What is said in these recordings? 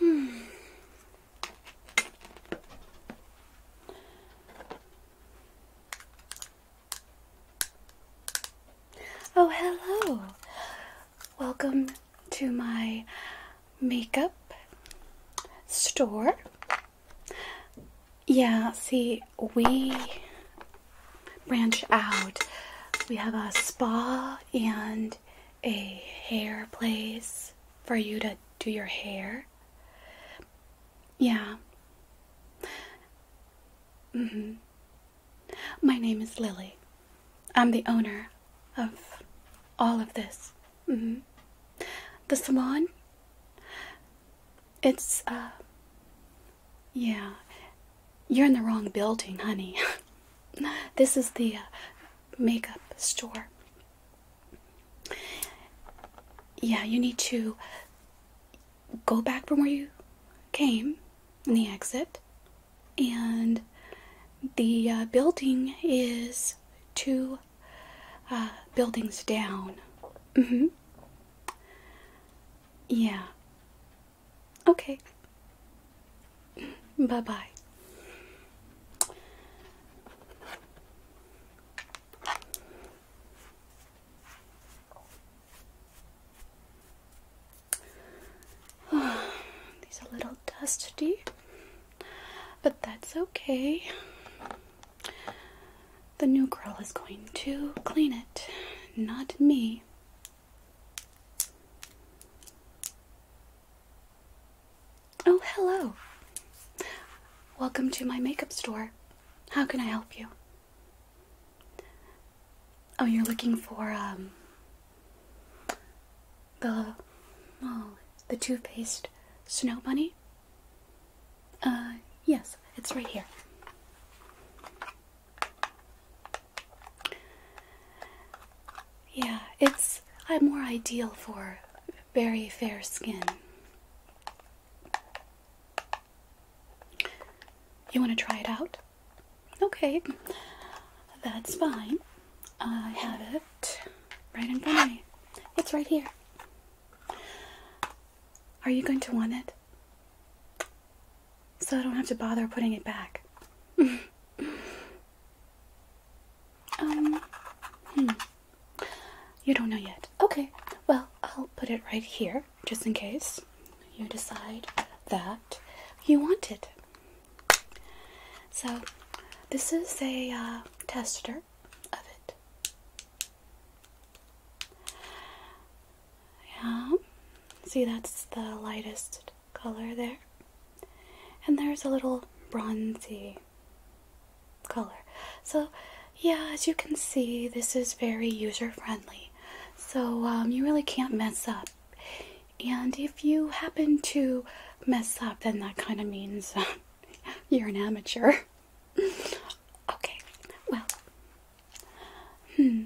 Hmm. Oh, hello. Welcome to my makeup store. Yeah, see, we branch out. We have a spa and a hair place for you to do your hair. Yeah. hmm My name is Lily. I'm the owner of all of this. hmm The salon it's, uh, yeah, you're in the wrong building, honey. this is the uh, makeup store. Yeah, you need to go back from where you came in the exit, and the uh, building is to uh, buildings down. Mm-hmm. Yeah. Okay. Bye bye. These are a little dusty, but that's okay. The new girl is going to clean it, not me. Oh, hello. Welcome to my makeup store. How can I help you? Oh, you're looking for um the oh, the toothpaste snow bunny? Uh, yes, it's right here. Yeah, it's I'm more ideal for very fair skin. You want to try it out? Okay, that's fine. I have it right in front of me. It's right here. Are you going to want it? So I don't have to bother putting it back. um, hmm. You don't know yet. Okay, well, I'll put it right here just in case you decide that you want it. So, this is a uh, tester of it. Yeah, see that's the lightest color there. And there's a little bronzy color. So, yeah, as you can see, this is very user friendly. So, um, you really can't mess up. And if you happen to mess up, then that kind of means you're an amateur. okay, well, hmm,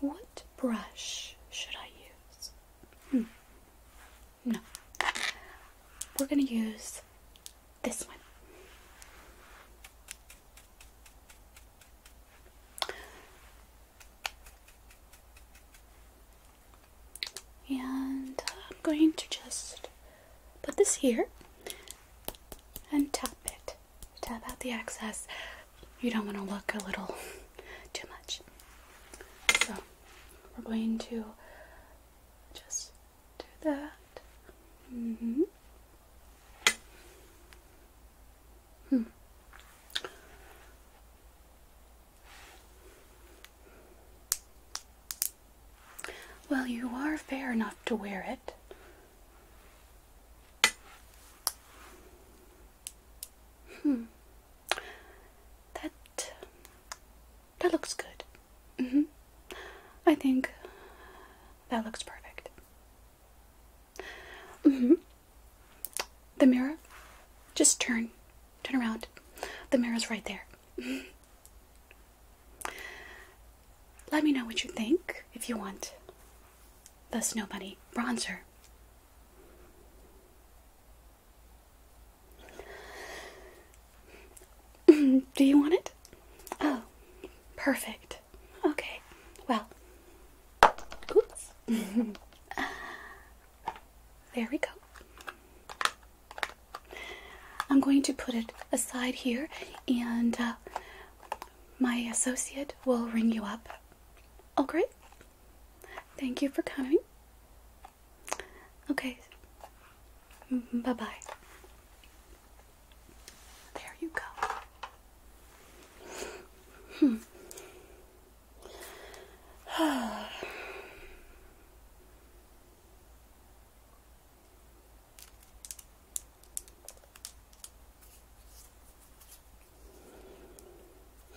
what brush should I use? Hmm, no, we're gonna use this one. And I'm going to just put this here and tap it. Tap out the excess. You don't want to look a little too much. So we're going to just do that. Mm-hmm. Hmm. Well, you are fair enough to wear it. Hmm. That that looks good. -hmm. I think that looks perfect. -hmm. The mirror, just turn, turn around. The mirror's right there. Mm-hmm. Let me know what you think if you want the Snow Bunny bronzer. Do you want it? Oh, perfect. Okay, well, oops. there we go. I'm going to put it aside here, and my associate will ring you up. Oh, great. Thank you for coming. Okay. Bye bye. There you go. Hmm.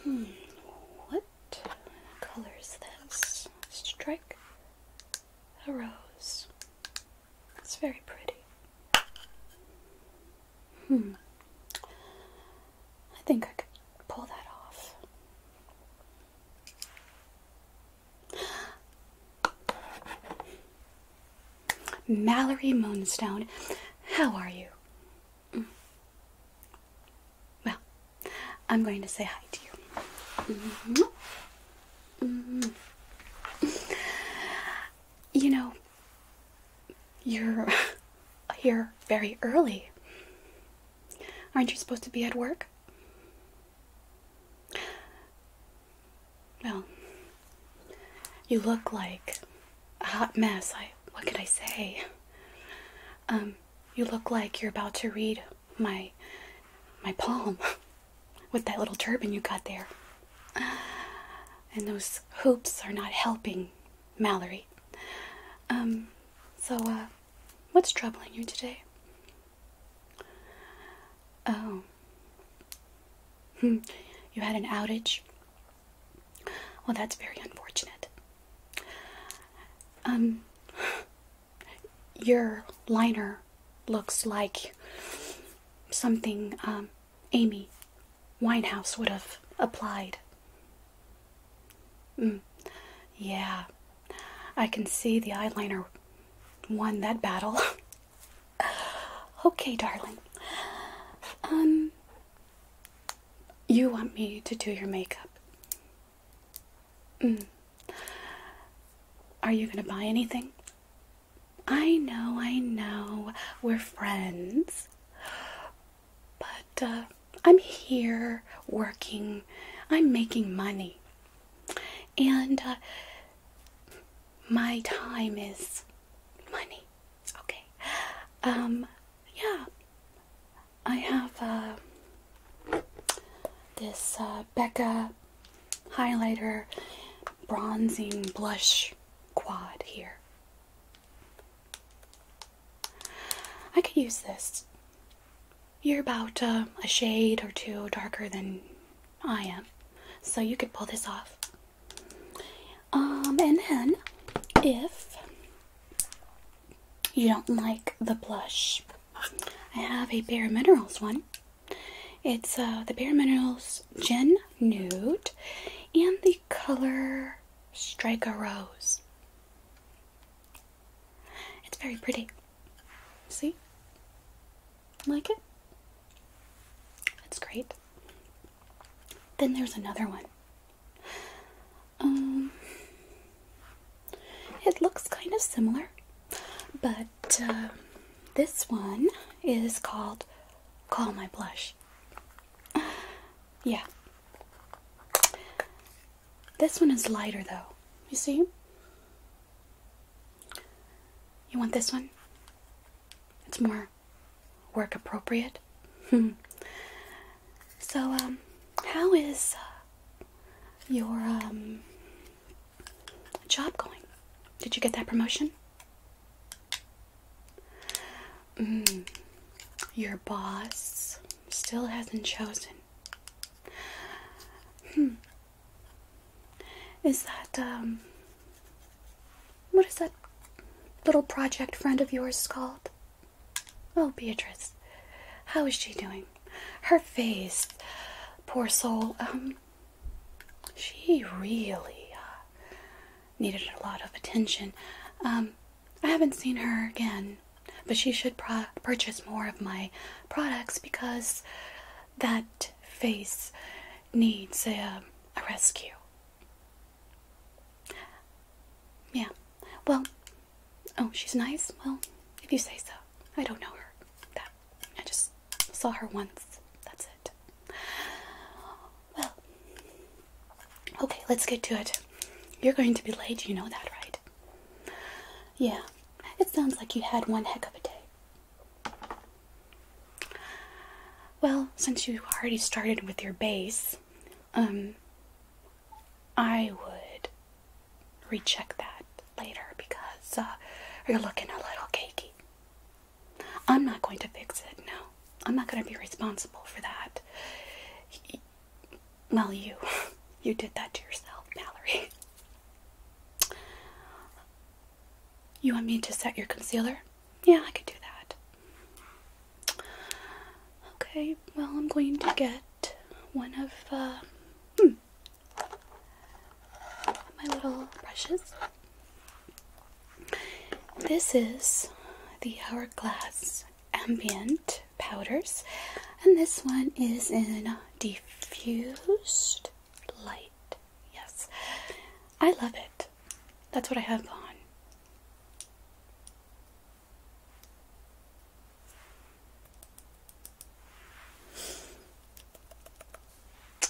Hmm, what color is this? Strike a rose. That's very pretty. Hmm. I think I could pull that off. Mallory Moonstone, how are you? Mm. Well, I'm going to say hi to you. Mm-hmm. Mm-hmm. You know, you're here very early. Aren't you supposed to be at work? Well, you look like a hot mess. I what could I say? Um, you look like you're about to read my my palm with that little turban you got there. And those hoops are not helping, Mallory. Um, so, uh, what's troubling you today? Oh. you had an outage? Well, that's very unfortunate. Um, your liner looks like something um, Amy Winehouse would have applied. Mm. Yeah, I can see the eyeliner won that battle. okay, darling. Um, you want me to do your makeup? Mm. Are you gonna buy anything? I know, I know, we're friends. But uh, I'm here working, I'm making money. And uh, my time is money. Okay. Um, yeah. I have uh, this uh, Becca highlighter bronzing blush quad here. I could use this you're about uh, a shade or two darker than I am, so you could pull this off. Um, and then if you don't like the blush, I have a Bare Minerals one. It's uh, the Bare Minerals Gin Nude and the color Strike a Rose. It's very pretty. See? Like it? That's great. Then there's another one. Um, it looks kind of similar, but uh, this one is called Call My Blush. Yeah. This one is lighter though. You see? You want this one? It's more work appropriate. so, um, how is uh, your um, job going? Did you get that promotion? Mm, your boss still hasn't chosen Hmm. Is that, um, what is that little project friend of yours called? Oh, Beatrice. How is she doing? Her face, poor soul, um, she really uh, needed a lot of attention. Um, I haven't seen her again but she should purchase more of my products because that face needs a, rescue. Yeah, well, oh, she's nice? Well, if you say so. I don't know her that. I just saw her once. That's it. Well, okay, let's get to it. You're going to be late, you know that, right? Yeah, it sounds like you had one heck of a day. Well, since you already started with your base, um, I would recheck that later because uh, you're looking a little cakey. I'm not going to fix it, no. I'm not going to be responsible for that well, you, you did that to yourself, Mallory. You want me to set your concealer? Yeah, I could do that. Okay, well, I'm going to get one of uh, hmm, my little brushes. This is the Hourglass Ambient powders, and this one is in diffused light. Yes, I love it. That's what I have on.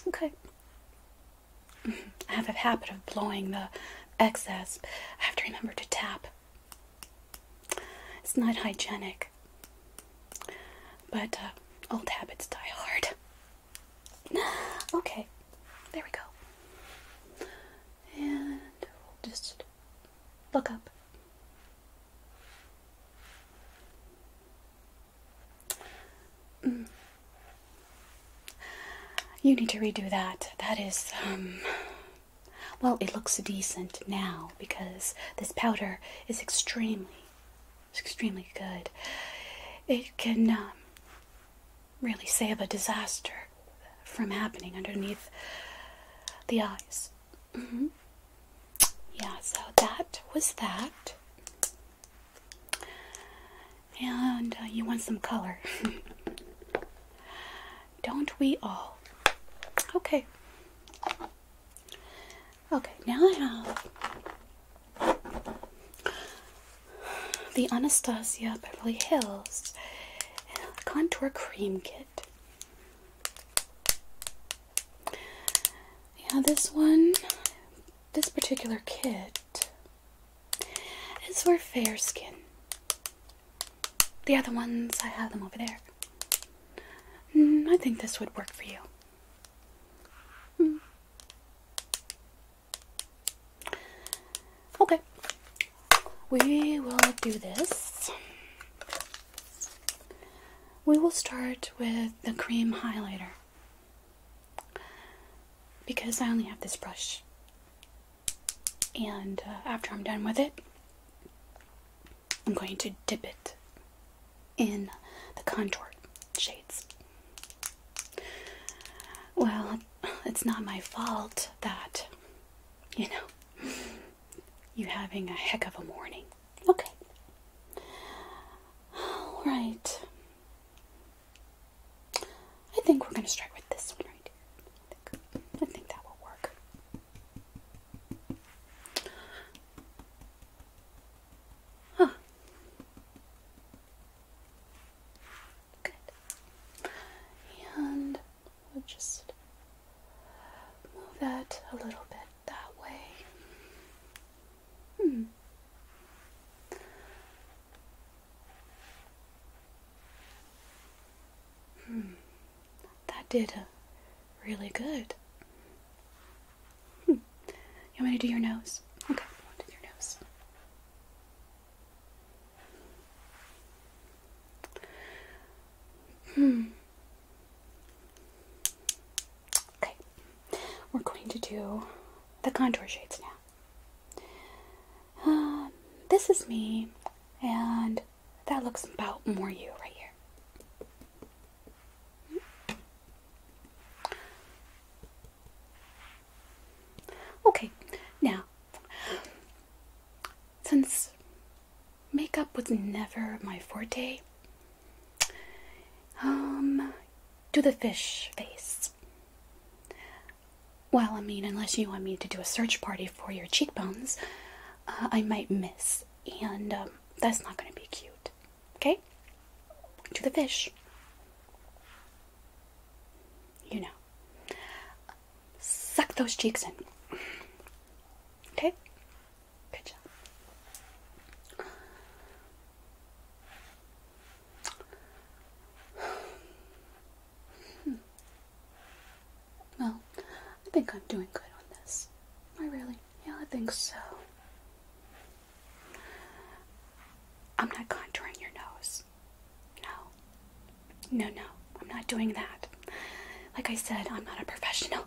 Okay. I have a habit of blowing the excess. I have to remember to tap it's not hygienic, but uh, old habits die hard. okay, there we go. And just look up. Mm. You need to redo that. That is, um, well, it looks decent now because this powder is extremely, extremely good. It can um, really save a disaster from happening underneath the eyes. Mm-hmm. Yeah, so that was that. And uh, you want some color. Don't we all? Okay. Okay, now I have the Anastasia Beverly Hills Contour Cream Kit. Yeah, this one, this particular kit is for fair skin. The other ones, I have them over there. Mm, I think this would work for you. Hmm. Okay, we will do this. We will start with the cream highlighter because I only have this brush. And uh, after I'm done with it, I'm going to dip it in the contour shades. Well, it's not my fault that, you know, you having a heck of a morning. Okay. All right. I think we're going to start with this one right here. I think, I think that will work. Huh. Good. And we'll just move that a little bit that way. Hmm. Hmm. That did uh, really good. Hmm. You want me to do your nose? Okay, I'll do your nose. Hmm. Okay, we're going to do the contour shades now. Um, this is me, and that looks about more you right here. Okay, now, since makeup was never my forte, um, do the fish face. Well, I mean, unless you want me to do a search party for your cheekbones, uh, I might miss, and um, that's not going to be cute. Okay? To the fish. You know. Suck those cheeks in. Okay? Good job. Hmm. Well, I think I'm doing good on this. I really? Yeah, I think so. I'm not contouring your nose. No. No, no. I'm not doing that. Like I said, I'm not a professional.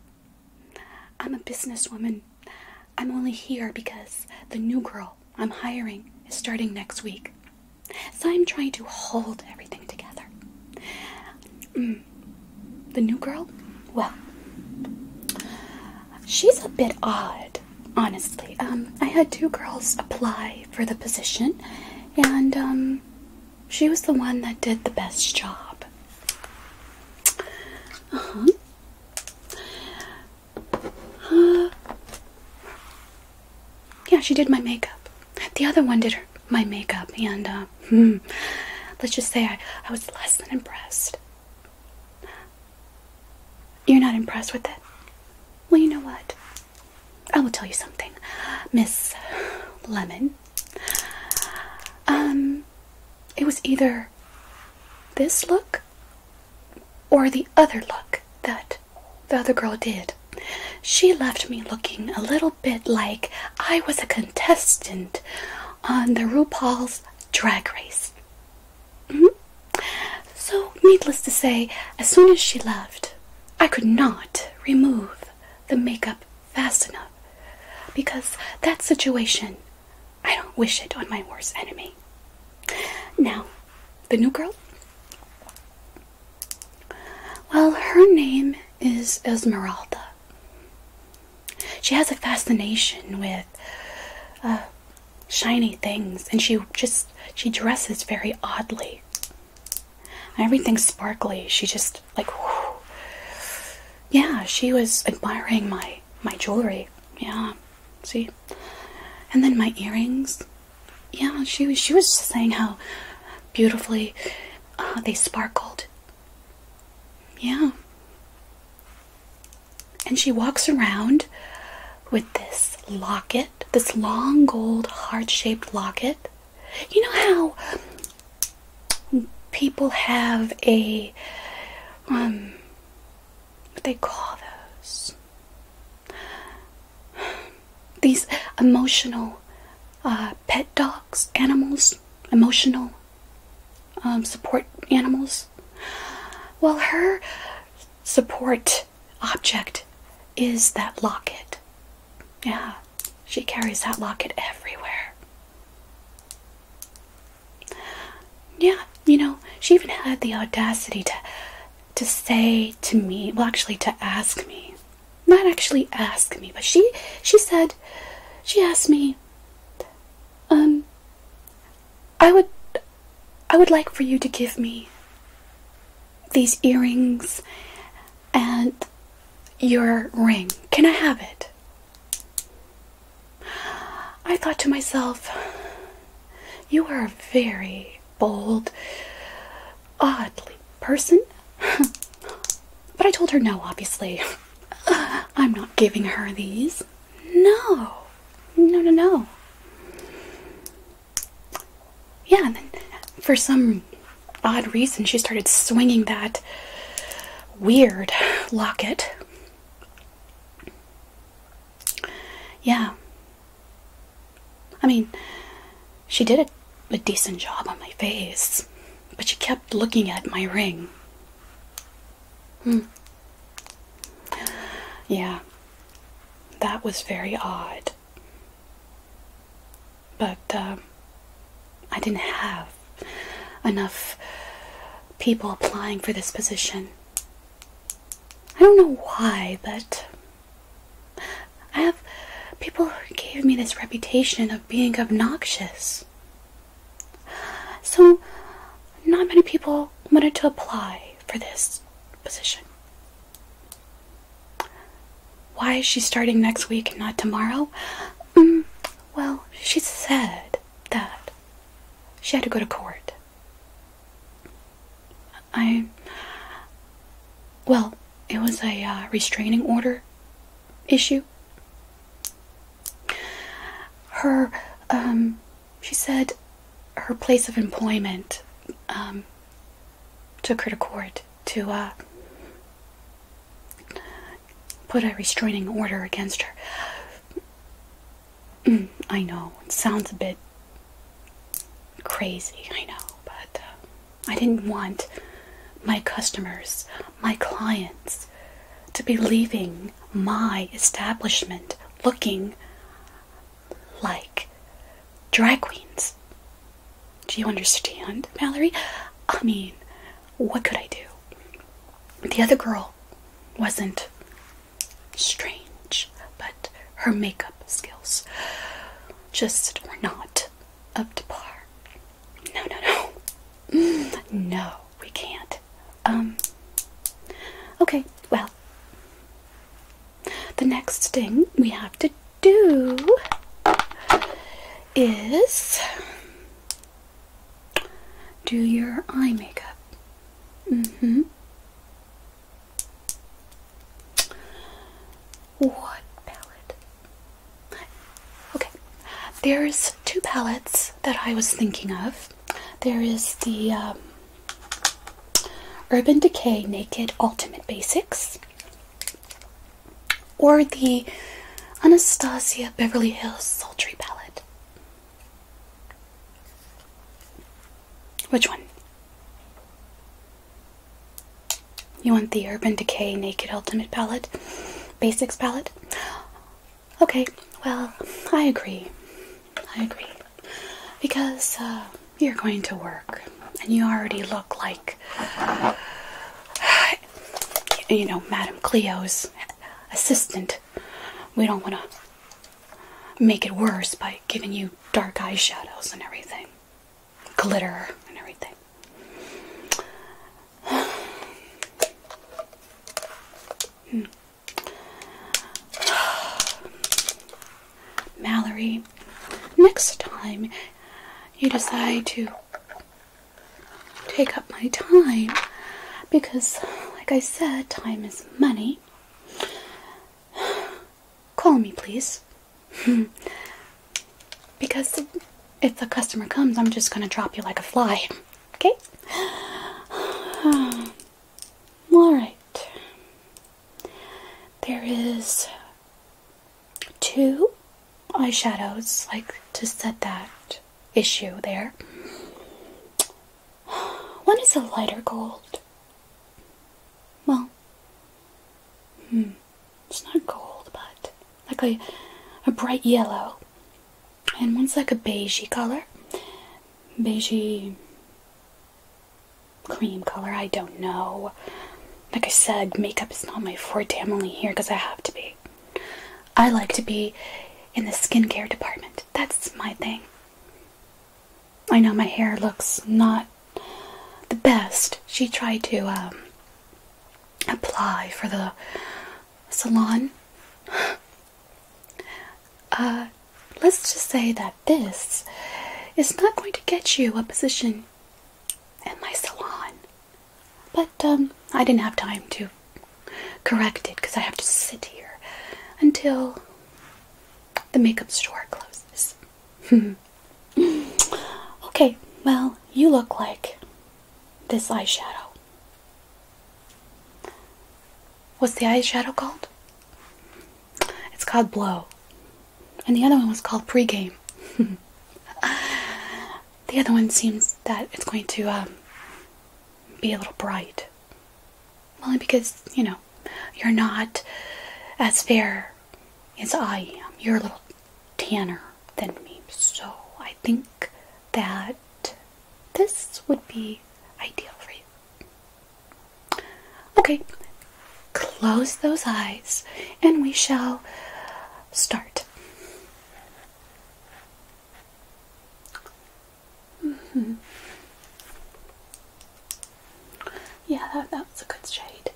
I'm a businesswoman. I'm only here because the new girl I'm hiring is starting next week. So I'm trying to hold everything together. Mm. The new girl? Well, she's a bit odd, honestly. Um, I had two girls apply for the position, and um, she was the one that did the best job. Uh-huh. Uh, yeah, she did my makeup. The other one did my makeup, and uh, hmm, let's just say I, I was less than impressed. You're not impressed with it? Well, you know what? I will tell you something, Miss Lemon. Um, it was either this look or the other look that the other girl did. She left me looking a little bit like I was a contestant on the RuPaul's drag race. Hmm? So, needless to say, as soon as she left, I could not remove the makeup fast enough because that situation, I don't wish it on my worst enemy. Now, the new girl, well, her name is Esmeralda. She has a fascination with uh, shiny things, and she just she dresses very oddly. Everything's sparkly. She just like, yeah. She was admiring my my jewelry. Yeah, see, and then my earrings. Yeah, she was she was saying how beautifully uh, they sparkled. Yeah. And she walks around with this locket, this long gold heart shaped locket. You know how people have a, um, what they call those? these emotional uh, pet dogs, animals, emotional um, support animals. Well, her support object is that locket. Yeah, she carries that locket everywhere. Yeah, you know, she even had the audacity to to say to me, well actually to ask me not actually ask me, but she she said she asked me um I would I would like for you to give me these earrings and your ring. Can I have it? I thought to myself, you are very bold oddly person. but I told her no, obviously. I'm not giving her these. No. No, no, no. Yeah, then for some odd reason, she started swinging that weird locket. Yeah. I mean, she did a, decent job on my face, but she kept looking at my ring. Hmm. Yeah, that was very odd. But um, I didn't have enough people applying for this position. I don't know why, but I have people gave me this reputation of being obnoxious. So, not many people wanted to apply for this position. Why is she starting next week and not tomorrow? Mm, well, she said that she had to go to court. I well, it was a uh, restraining order issue. Her, um, she said her place of employment, um, took her to court to, uh, put a restraining order against her. Mm, I know, it sounds a bit crazy, I know, but uh, I didn't want my customers, my clients, to be leaving my establishment looking like drag queens. Do you understand, Mallory? I mean, what could I do? The other girl wasn't strange, but her makeup skills just were not up to par. No, no, no. No, we can't. Um, okay, well, the next thing we have to do is do your eye makeup. Mm hmm. What palette? Okay, there's two palettes that I was thinking of. There is the um, Urban Decay Naked Ultimate Basics, or the Anastasia Beverly Hills Sultry palette. Which one? You want the Urban Decay Naked Ultimate palette? Basics palette? Okay, well, I agree. I agree. Because uh, you're going to work and you already look like, you know, Madame Cleo's assistant. We don't want to make it worse by giving you dark eyeshadows and everything glitter and everything. Hmm. Mallory, next time you decide to take up my time because, like I said, time is money call me, please. because if the customer comes, I'm just gonna drop you like a fly. Okay? Alright. There is two eyeshadows, like to set that issue there. One is a lighter gold. Well, hmm it's not gold, but like a, a bright yellow, and one's like a beigey color, beigey cream color. I don't know. Like I said, makeup is not my forte. I'm only here because I have to be. I like to be in the skincare department. That's my thing. I know my hair looks not the best she tried to um, apply for the salon. Uh, let's just say that this is not going to get you a position at my salon. But um, I didn't have time to correct it because I have to sit here until the makeup store closes. okay, well, you look like this eyeshadow. What's the eyeshadow called? It's called Blow. And the other one was called Pregame. the other one seems that it's going to um, be a little bright. Only because, you know, you're not as fair as I am. You're a little tanner than me. So I think that this would be ideal for you. Okay, close those eyes and we shall start. Mm-hmm. Yeah, that, that's a good shade.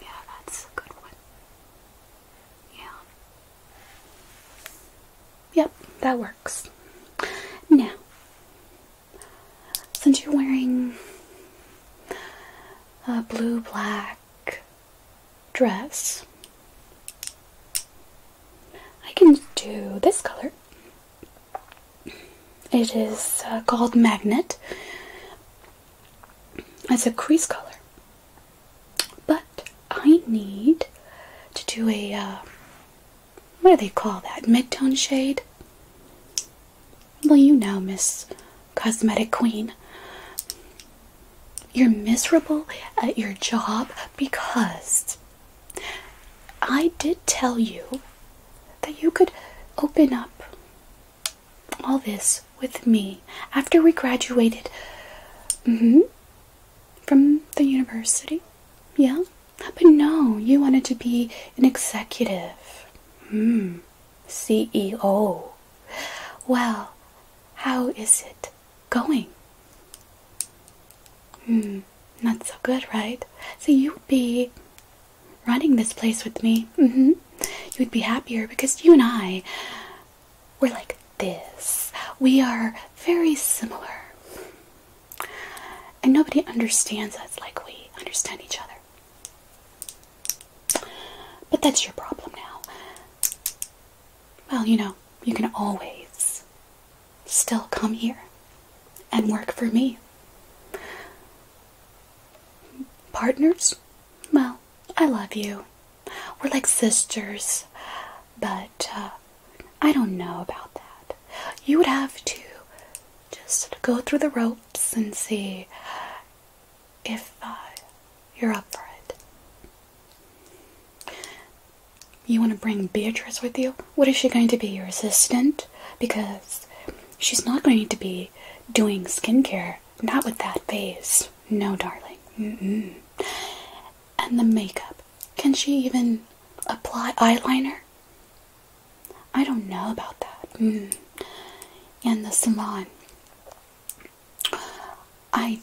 yeah, that's a good one. Yeah. Yep, that works. Now, since you're wearing a blue black dress, I can do this color. It is uh, called Magnet. It's a crease color. But I need to do a, uh, what do they call that? Midtone shade? Well, you know, Miss Cosmetic Queen. You're miserable at your job because I did tell you that you could open up all this with me after we graduated mm-hmm, from the university. Yeah? But no, you wanted to be an executive. Hmm. CEO. Well, how is it going? Hmm, not so good, right? So you'd be running this place with me, mm-hmm. you would be happier because you and I, we're like this. We are very similar. And nobody understands us like we understand each other. But that's your problem now. Well, you know, you can always still come here and work for me partners? Well, I love you. We're like sisters, but uh, I don't know about that. You would have to just go through the ropes and see if uh, you're up for it. You want to bring Beatrice with you? What is she going to be, your assistant? Because She's not going to be doing skincare, not with that face. No, darling. And the makeup. Can she even apply eyeliner? I don't know about that. Mm-hmm. And the salon. I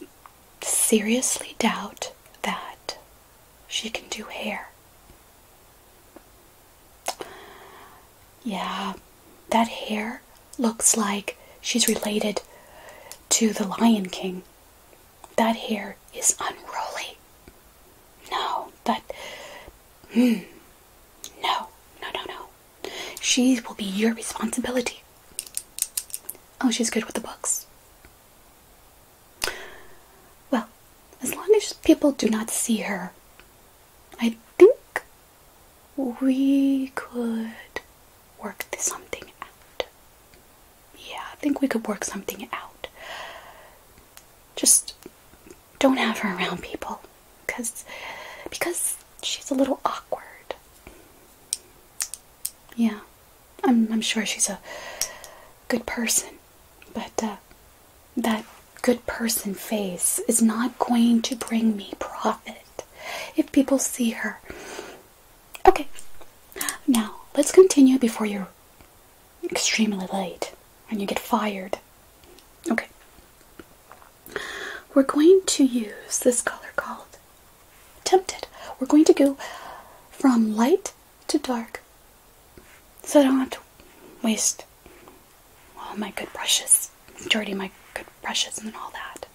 seriously doubt that she can do hair. Yeah, that hair looks like she's related to the Lion King. That hair is unruly. No, that. Hmm. no, no, no, no. She will be your responsibility. Oh, she's good with the books. Well, as long as people do not see her I think we could work something out. Yeah, I think we could work something out. Just don't have her around people because because she's a little awkward. Yeah. I'm I'm sure she's a good person, but uh that good person face is not going to bring me profit if people see her. Okay, now let's continue before you're extremely late and you get fired. Okay, we're going to use this color called Tempted. We're going to go from light to dark so don't have to waste all my good brushes, majority my good brushes and all that.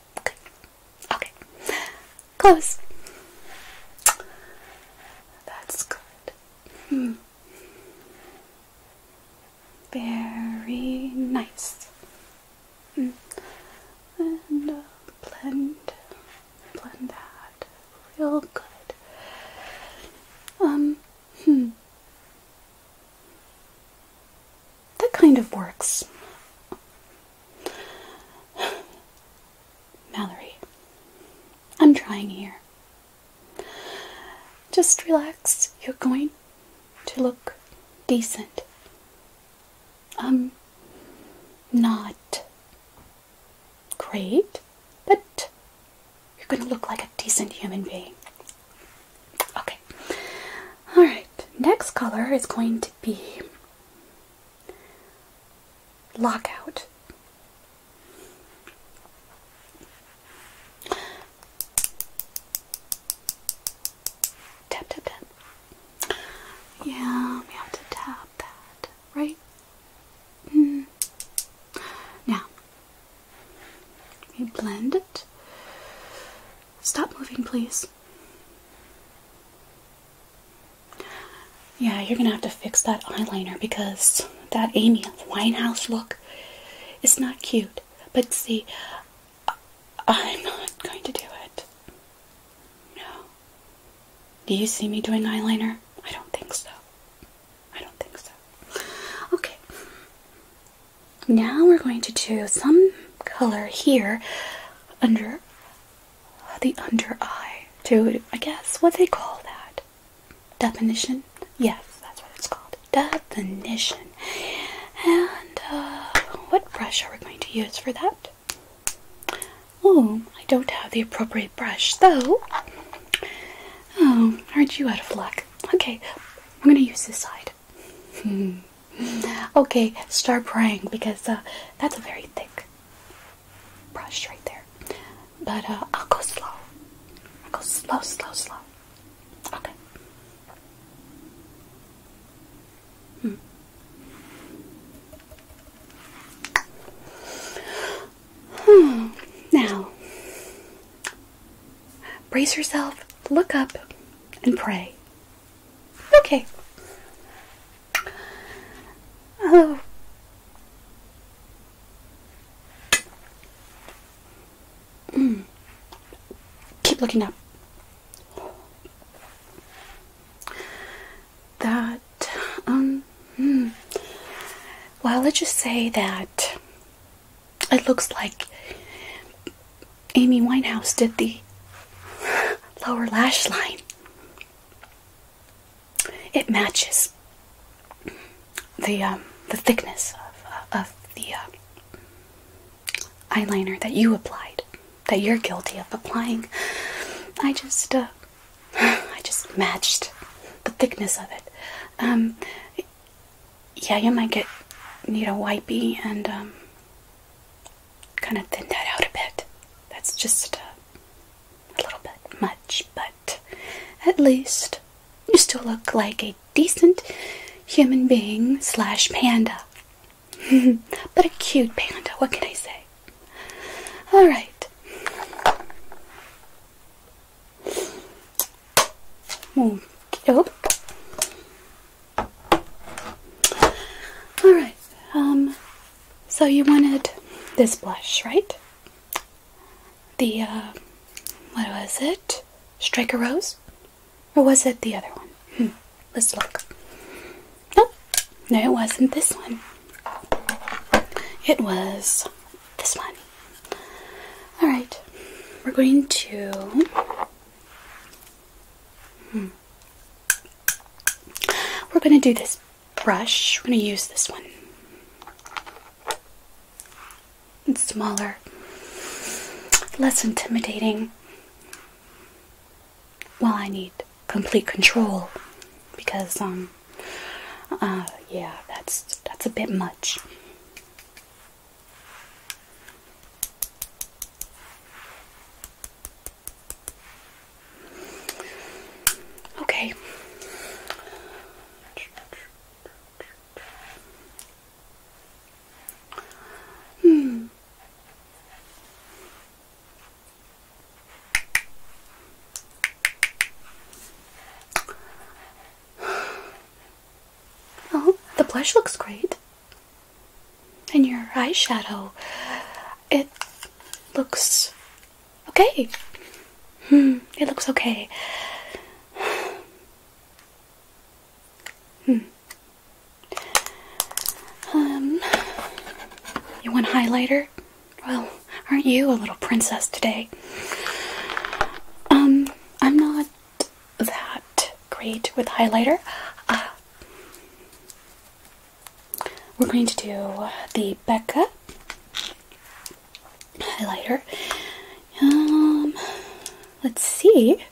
Okay, Close. That's good. Hmm. Very nice. Hmm. And uh, blend, blend that real good. Um, Hmm. That kind of works. Mallory, I'm trying here. Just relax. You're going to look decent. I'm um, not great, but you're going to look like a decent human being. Okay. All right. Next color is going to be Lockout. Tap, tap, tap. Yeah, we have to tap that, right? Mm. Now, you blend it. Stop moving, please. Yeah, you're gonna have to fix that eyeliner because that Amy Winehouse look is not cute. But see, I'm not going to do it. No. Do you see me doing eyeliner? I don't think so. I don't think so. Okay. Now we're going to do some color here under the under eye to, I guess, what they call that. Definition? Yes, that's what it's called. Definition. And uh, what brush are we going to use for that? Oh, I don't have the appropriate brush, though. Oh, aren't you out of luck? Okay, I'm gonna use this side. okay, start praying because uh, that's a very thick brush right there. But uh, I'll go slow. I'll go slow, slow, slow. Okay. Hmm. Hmm. Now, brace yourself, look up, and pray. Okay. Oh. Mm. Keep looking up. That, um, mm. well, let's just say that it looks like Amy Winehouse did the lower lash line. It matches the um, the thickness of, uh, of the uh, eyeliner that you applied, that you're guilty of applying. I just uh, I just matched the thickness of it. Um, yeah, you might get need a wipey and um, kind of thin that out a bit. That's just a, uh, a little bit much, but at least you still look like a decent human being slash panda. but a cute panda, what can I say? Alright. Oh, hmm. dough. All right. Um, so you wanted this blush, right? The uh, what was it? Striker rose, or was it the other one? Hmm. Let's look. Nope. No, it wasn't this one. It was this one. Alright, we're going to. Hmm. We're going to do this brush. We're going to use this one. It's smaller, less intimidating. Well, I need complete control because, um, Ah, yeah, that's that's a bit much. Okay. Hmm. Oh, the blush looks great. And your eyeshadow, it looks okay. Hmm, it looks okay. Hmm. Um, you want highlighter? Well, aren't you a little princess today? Um, I'm not that great with highlighter. Uh, we're going to do the Becca highlighter. Um, let's see.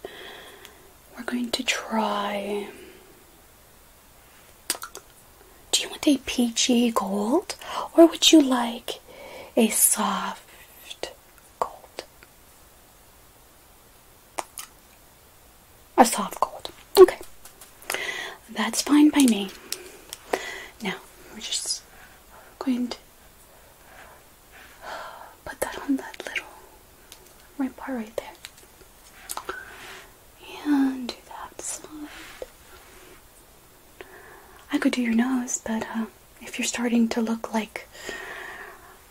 We're going to try. Do you want a peachy gold or would you like a soft gold. A soft gold. Okay. That's fine by me. Now, we're just going to put that on that little right part right there. And do that side. I could do your nose, but uh, if you're starting to look like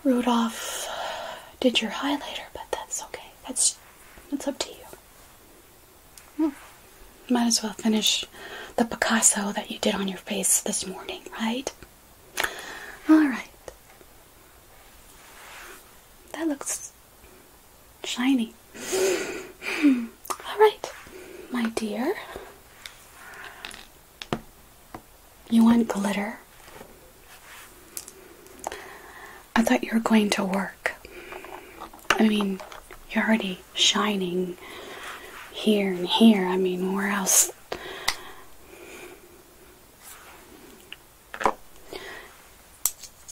Rudolph did your highlighter, but that's okay. That's that's up to you. Hmm. Might as well finish the Picasso that you did on your face this morning, right? All right. That looks shiny. All right, my dear. You want glitter? I thought you were going to work. I mean, you're already shining here and here. I mean, where else?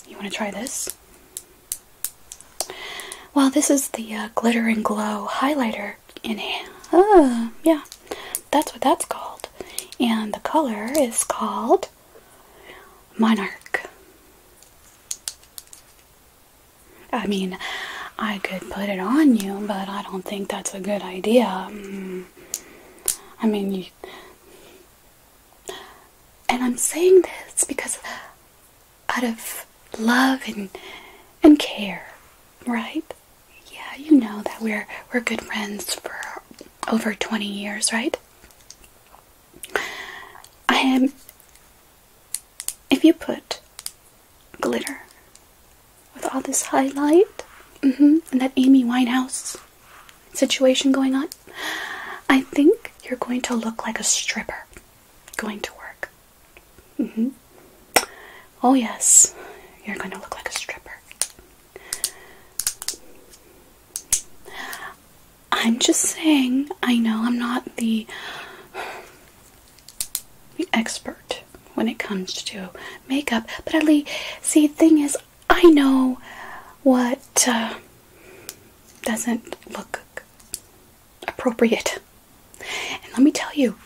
You want to try this? Well, this is the uh, Glitter and Glow highlighter in hand. Oh, uh, yeah, that's what that's called. And the color is called Monarch. I mean, I could put it on you, but I don't think that's a good idea. Mm. I mean, you... and I'm saying this because out of love and and care, right? Yeah, you know that we're we're good friends for over 20 years, right? I am if you put glitter with all this highlight mm-hmm, and that Amy Winehouse situation going on, I think you're going to look like a stripper going to work. Mm-hmm. Oh, yes, you're going to look like a stripper. I'm just saying, I know I'm not the, the expert when it comes to makeup, but at least, see, the thing is, I know what uh, doesn't look appropriate. And let me tell you,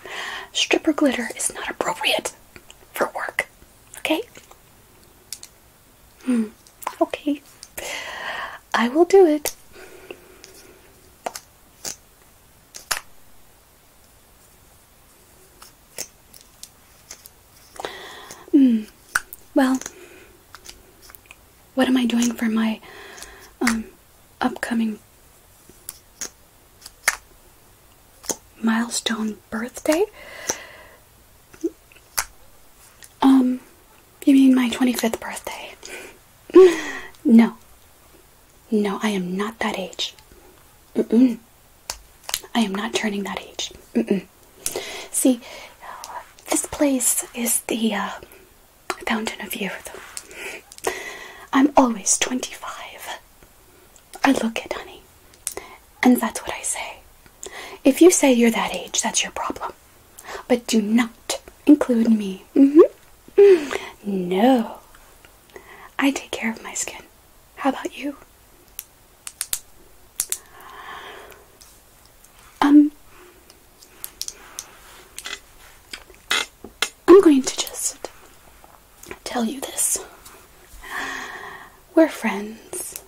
stripper glitter is not appropriate for work. Okay? Hmm. Okay. I will do it. Hmm. Well, what am I doing for my um, upcoming milestone birthday? Um, you mean my 25th birthday? no. No, I am not that age. I am not turning that age. See, this place is the uh, I found in a few I'm always 25. I look it, honey. And that's what I say. If you say you're that age, that's your problem. But do not include me. Mm-hmm. No. I take care of my skin. How about you? Um, I'm going to just tell you this. We're friends.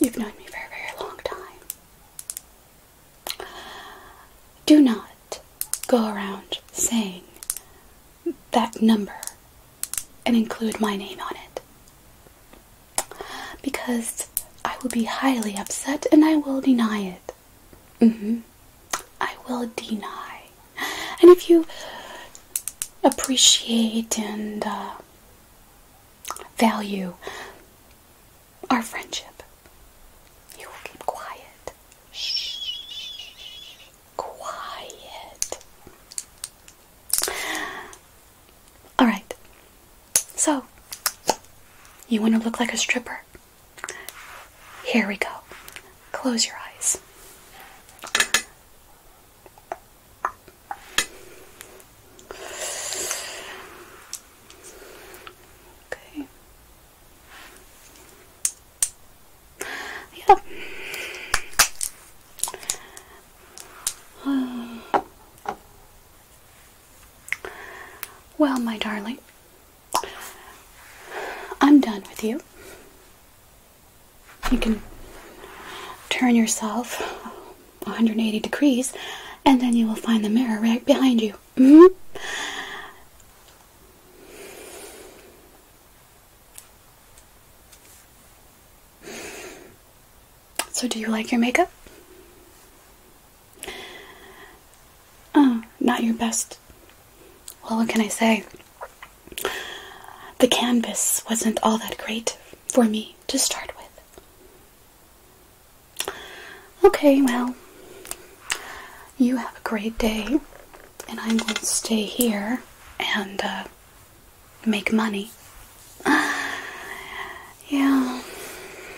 You've known me for a very long time. Do not go around saying that number and include my name on it. Because I will be highly upset and I will deny it. Mm-hmm. I will deny. And if you appreciate and uh, value our friendship, you will keep quiet. Quiet. All right. So, you want to look like a stripper? Here we go. Close your eyes. Okay. Yeah. Well, my darling, I'm done with you. You can turn yourself 180 degrees and then you will find the mirror right behind you. Mm-hmm. So, do you like your makeup? Oh, not your best. Well, what can I say? The canvas wasn't all that great for me to start with. Okay, well, you have a great day, and I'm going to stay here and uh, make money. Yeah,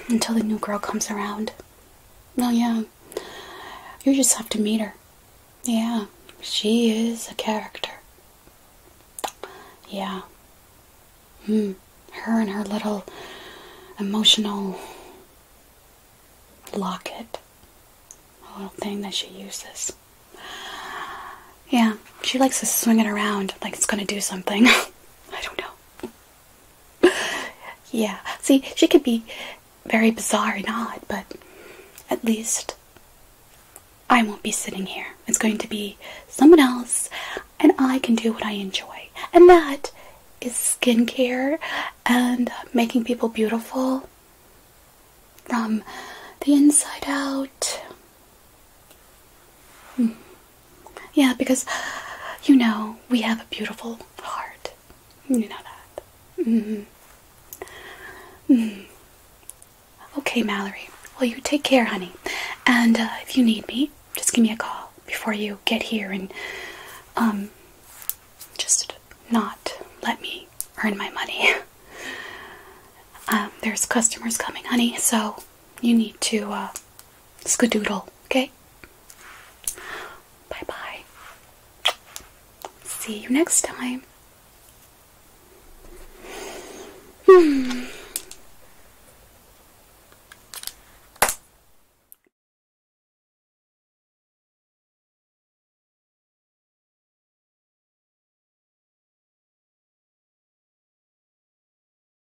until the new girl comes around. No, oh, yeah, you just have to meet her. Yeah, she is a character. Yeah. Hmm. Her and her little emotional locket. A little thing that she uses. Yeah, she likes to swing it around like it's gonna do something. I don't know. yeah, see, she could be very bizarre and odd, but at least I won't be sitting here. It's going to be someone else, and I can do what I enjoy. And that is skincare and making people beautiful from the inside out. Hmm. Yeah, because you know we have a beautiful heart. You know that. Mm Okay, Mallory. Well, you take care, honey. And uh, if you need me, just give me a call before you get here and um just not let me earn my money. Um, there's customers coming, honey, so you need to uh, skadoodle, okay? Bye bye. See you next time.